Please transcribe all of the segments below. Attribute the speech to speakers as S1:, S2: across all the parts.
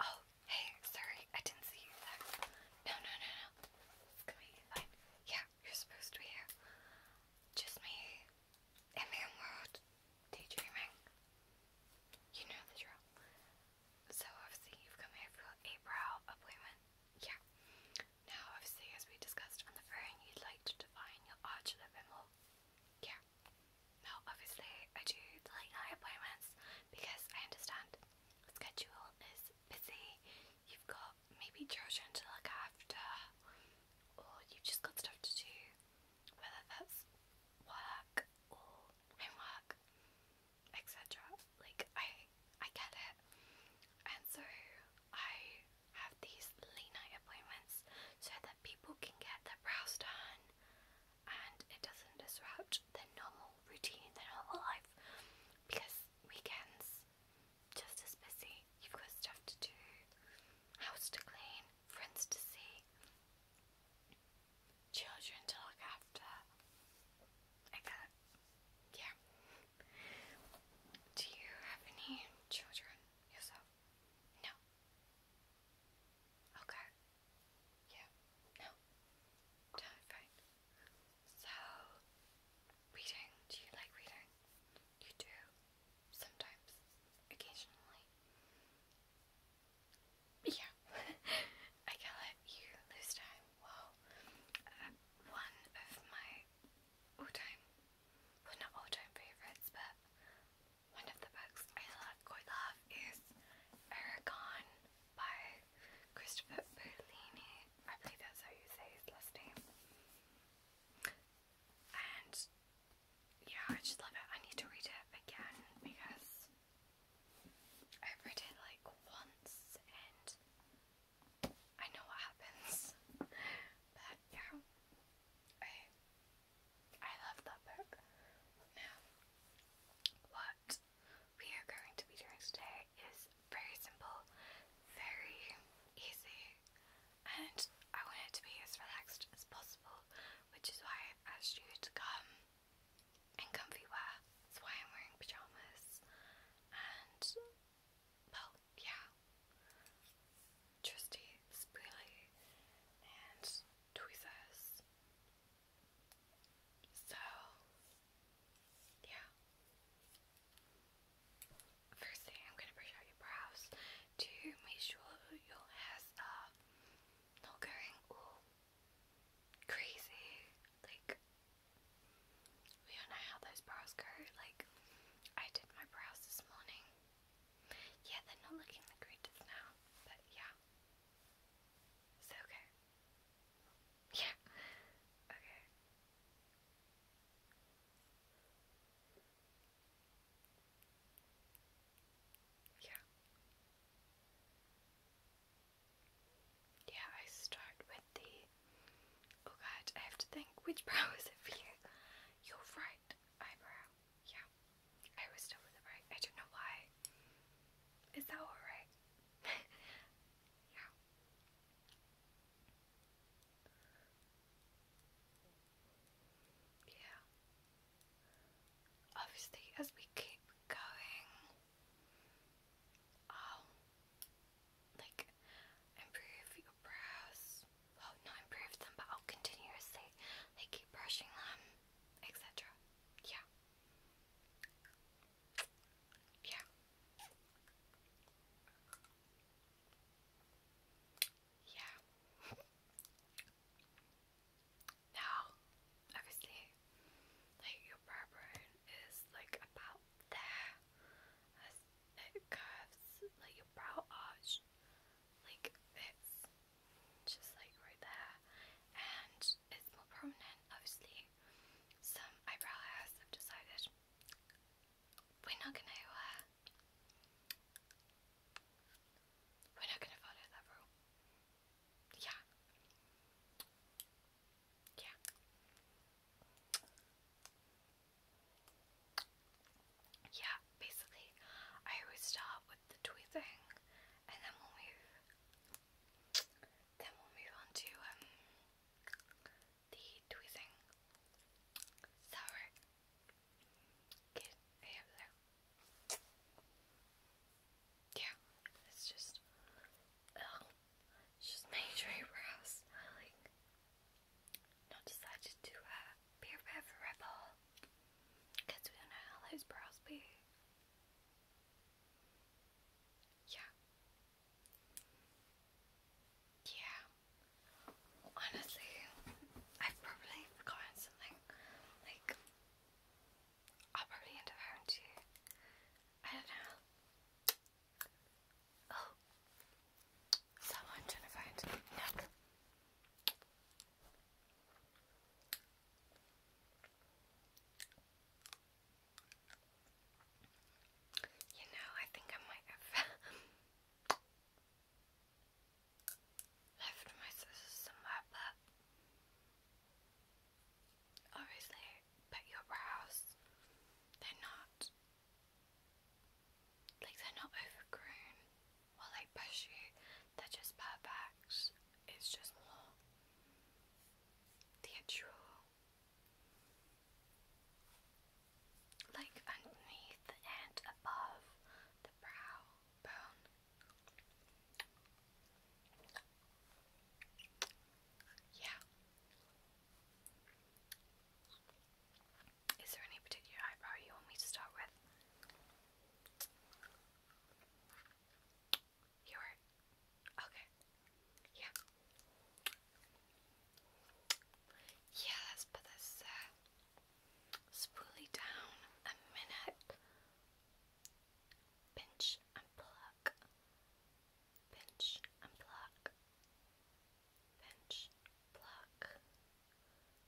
S1: Oh, hey, sorry, I didn't see you there. No, no, no, no. It's gonna be fine. Yeah, you're supposed to be here. Just me in my own world, daydreaming. You know the drill. So obviously you've come here for a brow appointment. Yeah. Now obviously as we discussed on the phone, you'd like to define your arch a little Yeah. Now obviously I do the late appointments because I understand schedule is busy. You've got maybe children to look after, or you've just got stuff to do, whether that's work or homework, etc. Like I, I get it, and so I have these late night appointments so that people can get their brows done, and it doesn't disrupt their normal routine, their normal life, because weekends just as busy you've got stuff to do, house to clean, friends to see, children to look after. I got Yeah. Do you have any children yourself? No. Okay. Yeah. No. Terrifying. So, reading. Do you like reading? You do. Sometimes. Occasionally. Yeah. I can let you lose time. Well, um, one of my all time, not all time favorites, but one of the books I love, quite love is Aragon by Christopher Berlini. I believe that's how you say his last name. And yeah, I just love it. I need to read it again because I've read it like once and I know what happens. But yeah, I I love that book. Now, what we are going to be doing today is very simple, very easy, and I want it to be as relaxed as possible, which is why i asked you to come in comfy wear. That's why I'm wearing pajamas, and well, yeah, trusty spoolie and tweezers. So, yeah. First thing, I'm gonna brush out your brows to make sure your hair's uh, not going all crazy. Like, we do know how those brows go. Like, I did my brows this morning. Yeah, they're not looking the greatest now, but yeah. It's okay. Yeah. Okay. Yeah. Yeah, I start with the Oh god, I have to think which brow is it for you? Your right eyebrow. Yeah. I was still with the right. I don't know why. Is that alright? yeah. Yeah. Obviously, as we keep going, I'll like improve your brows. Well, not improve them, but I'll continuously like keep brushing them, etc. Yeah. Yeah. Yeah. now, obviously, like your brow bone is like about there as it curves, like your brow arch, like it's just like right there, and it's more prominent, obviously, some eyebrow hairs. I've decided we're not gonna uh, we're not gonna follow that rule. Yeah, yeah. Yeah, basically, I always start with the tweezing and then we then we'll move on to um, the tweezing. Is Yeah, it's just, ugh, just my eyebrows. Like, not decided to uh, be a because we don't know how those brows be. Yeah. Yeah. Honestly, I've probably forgotten something. Like, I'll probably end up having to. I don't know. Oh. So trying to find Nook. You know, I think I might have left my scissors somewhere, but obviously, but your brows, they're not, like, they're not overgrown while they push you they're just perfect. It's just more theatrical. Like underneath and above the brow bone. Yeah. Is there any particular eyebrow you want me to start with? You okay. Yeah. Yeah, let's put this uh, spoolie down a minute. Pinch and pluck. Pinch and pluck. Pinch, pluck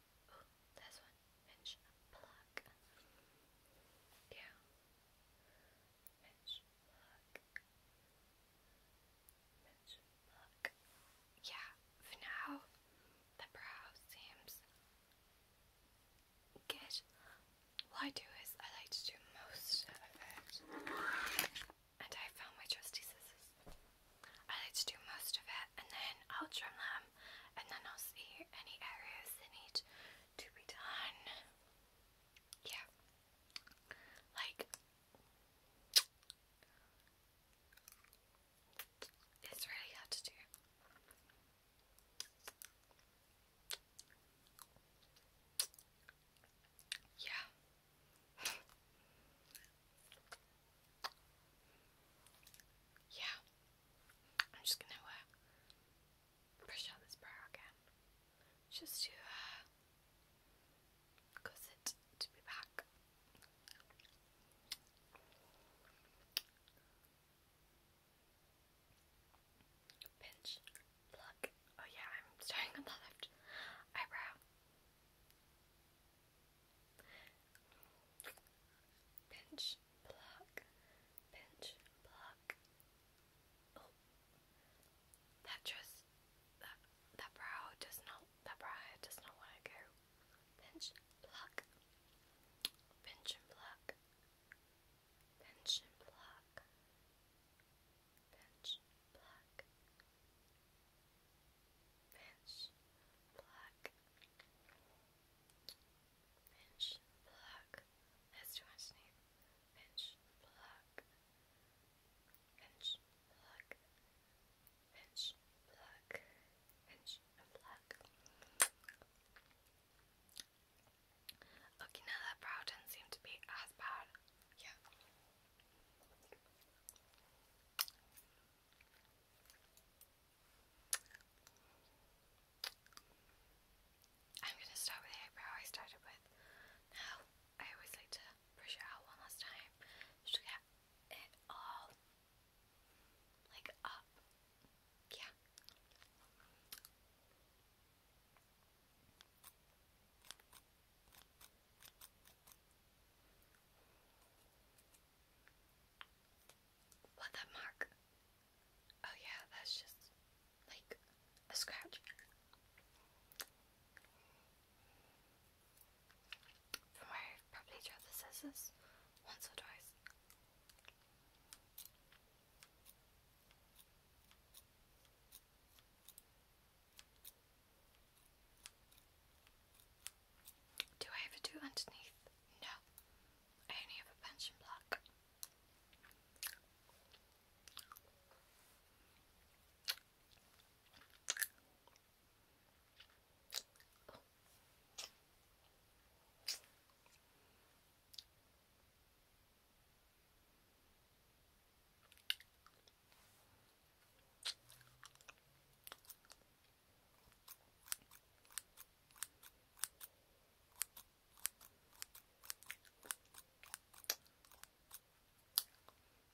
S1: Yeah. Yeah, for now, the brow seems good. What I do is I like to do most of it. And I found my trusty scissors. I like to do most of it and then I'll trim them and then I'll see any areas that need to be done. Yeah. Like, it's really hard to do. Yeah. yeah. I'm just gonna push uh, out this brow again, just to uh, cause it to be back. Pinch, pluck. Oh yeah, I'm starting on left eyebrow. Pinch, block, pinch, block. Oh, that just that that brow does not that brow does not want to go. Pinch, pluck, pinch and pluck, pinch and pluck, pinch, pluck, Finch, black. Finch, black. That's too much name. Finch, black. Finch, black. Finch, black. Finch, black. Okay, now that brow doesn't seem to be as bad. Yeah. I'm going to start with the eyebrow I started with. Now, I always like to brush it out one last time just get it all like up. Yeah. What that mark? Oh yeah, that's just like a scratch i probably tried the scissors once or twice. Do I ever do underneath? No. I only have a punch block.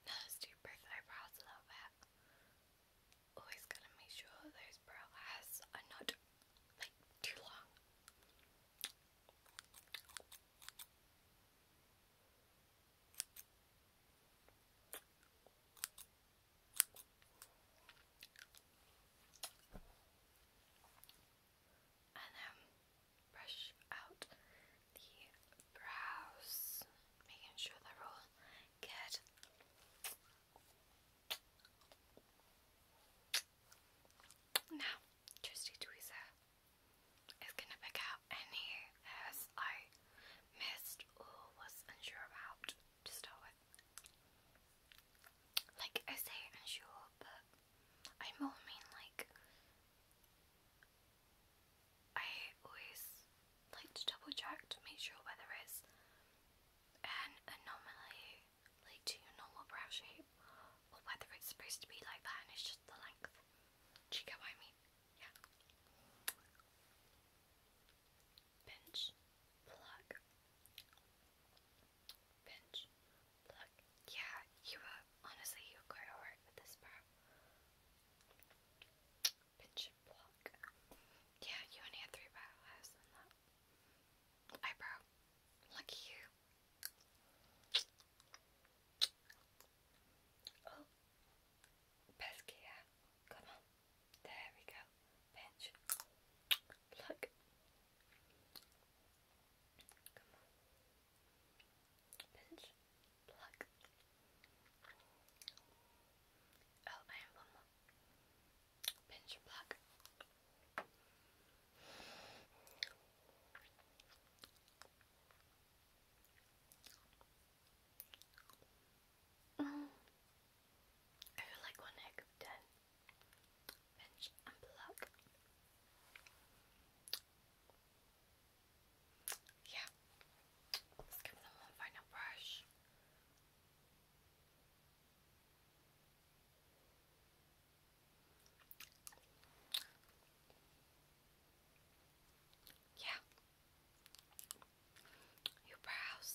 S1: Now let's do brow eyebrows a little bit. Always gotta make sure those brow are not like too long. And then brush out the brows, making sure they're all good. Now, just a is gonna pick out any hairs I missed or was unsure about to start with. Like, I say unsure, but I more mean like I always like to double check to make sure whether it's an anomaly like to your normal brow shape or whether it's supposed to be like that and it's just the length. Do you get what I mean? Yeah. Pinch, pluck. Pinch, pluck. Yeah, you uh, honestly, you were quite with this part. Pinch and Yeah, you only had three battle lives on that. Eyebrow. you. Oh, Peskia, come on. There we go. Pinch. Look. Come on. Pinch. Pluck. Oh, I am one more. Pinch and Mm. I feel like one heck of ten. Bench and plug. Yeah. Let's give them one final brush. Yeah. Your brows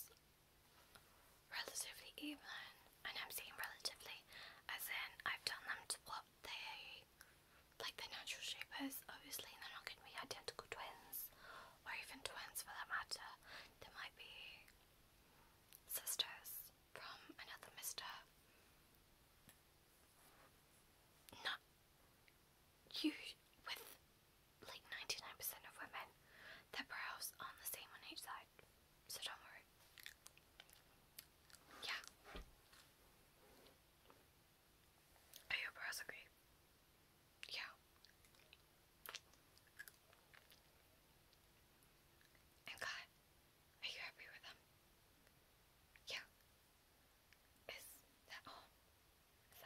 S1: relatively even, and I'm saying relatively as in I've done them to what they like their natural shape is. Obviously they're not gonna be identical twins or even twins for that matter. They might be sisters from another mister not you with like 99% of women, their brows aren't the same on each side, so don't worry. Yeah. Are your brows okay? Yeah. And cut. Are you happy with them? Yeah. Is that all? Is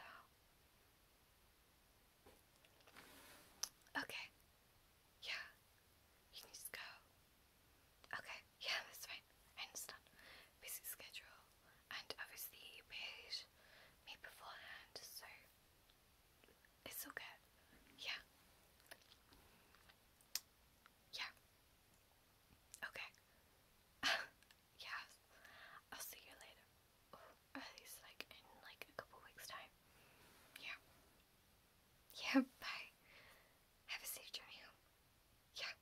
S1: Okay. Yeah. You can just go. Okay. Yeah, that's fine. I understand. Busy schedule. And obviously you paid me beforehand, so it's all good. Yeah. Yeah. Okay. yeah. I'll see you later. at least like in like a couple weeks time. Yeah. Yeah, bye. Have a safe journey Yeah.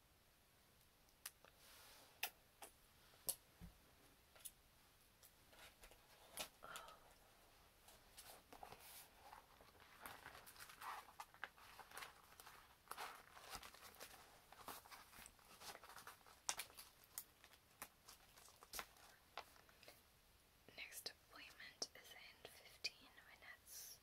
S1: Next appointment is in fifteen minutes.